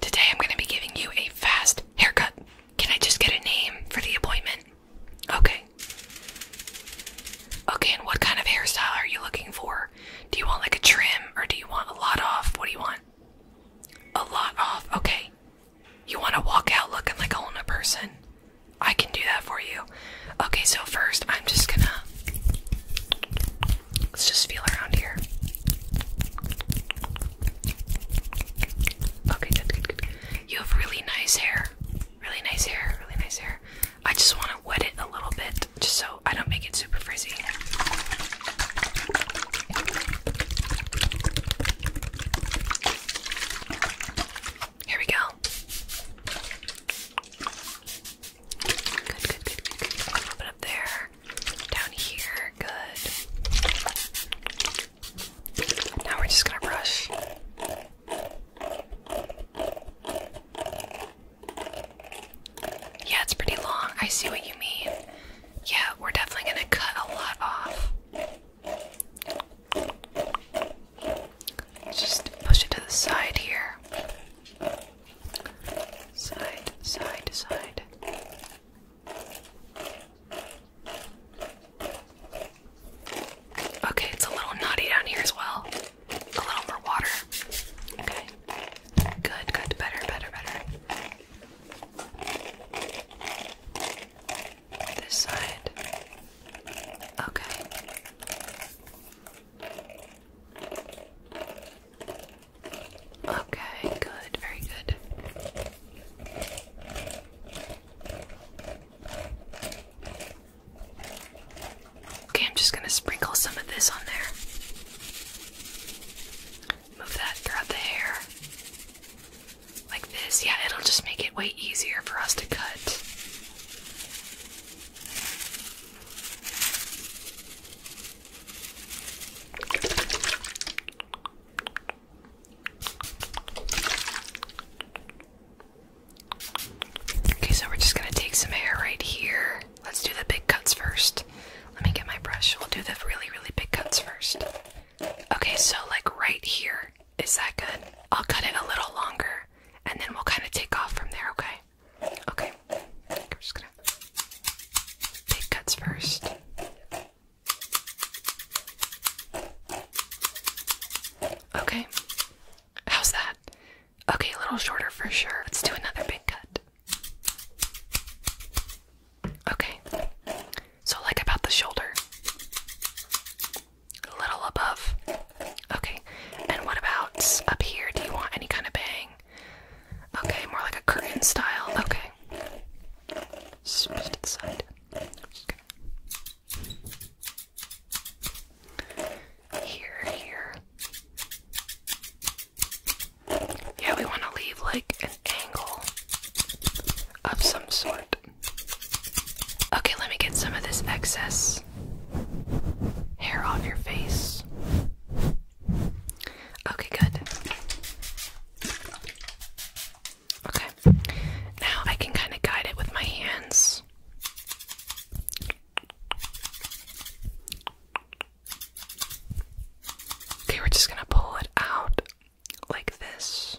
Today I'm going to be giving you a fast haircut. Can I just get a name for the appointment? Okay. Okay, and what kind of hairstyle are you looking for? Do you want like a trim or do you want a lot off? What do you want? A lot off. Okay. You want to walk out looking like a whole new person? I can do that for you. Okay, so first I'm just gonna Let's just feel around here. Okay, good, You have really nice hair. Really nice hair, really nice hair. I just want to wet it a little bit just so I don't make it super frizzy. Here we go. Good, good, good, A little bit up there. Down here. Good. Now we're just gonna brush. Yeah, it's pretty long. I see what you mean. Yeah, we're definitely gonna cut a lot off. Just push it to the side here. Side, side, side. Okay, it's a little knotty down here as well. A little more water. Okay. Good, good, better, better, better. This side. Okay. Okay, good, very good. Okay, I'm just going to sprinkle some of this on there. Move that throughout the hair. Like this. Yeah, it'll just make it way easier for us to cut. Okay, so we're just gonna take some hair right here. Let's do the big cuts first. Let me get my brush. We'll do the really, really big cuts first. Okay, so like right here. Is that good? I'll cut it a little longer and then we'll kind of take off from there, okay? Okay. I'm just gonna big cuts first. Okay. How's that? Okay, a little shorter for sure. Let's do another big cut. Okay. So like about the shoulder. A little above. Okay, and what about up here? Do you want any kind of bang? Okay, more like a curtain style. Okay. Just to side. Here, here. Yeah, we want to leave like an angle of some sort. Okay, let me get some of this excess hair on your face. Okay, good. Okay, now I can kind of guide it with my hands. Okay, we're just gonna pull it out like this.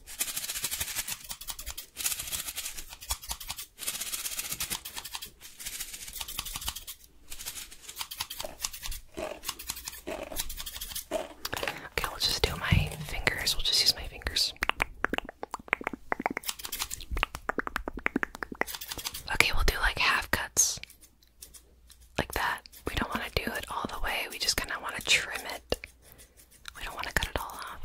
Okay, we'll just do my fingers. We'll just use my fingers. Okay, we'll do like half cuts. Like that. We don't want to do it all the way. We just kind of want to trim it we don't want to cut it all off.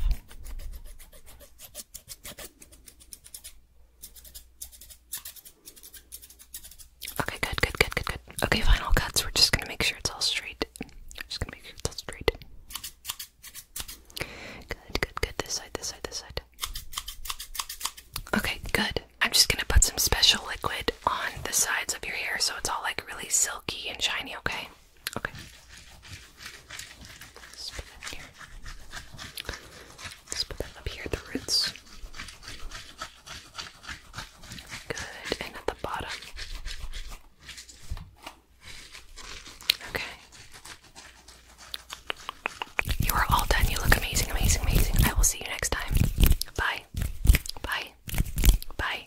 Okay, good, good, good, good, good. Okay, final cuts. We're just gonna make sure it's all straight. just gonna make sure it's all straight. Good, good, good. This side, this side, this side. Okay, good. I'm just gonna put some special liquid on the sides of your hair so it's all like really silky and shiny, okay? Okay. put that here. put that up here the roots. Good. And at the bottom. Okay. You are all done. You look amazing, amazing, amazing. I will see you next time. Bye. Bye. Bye.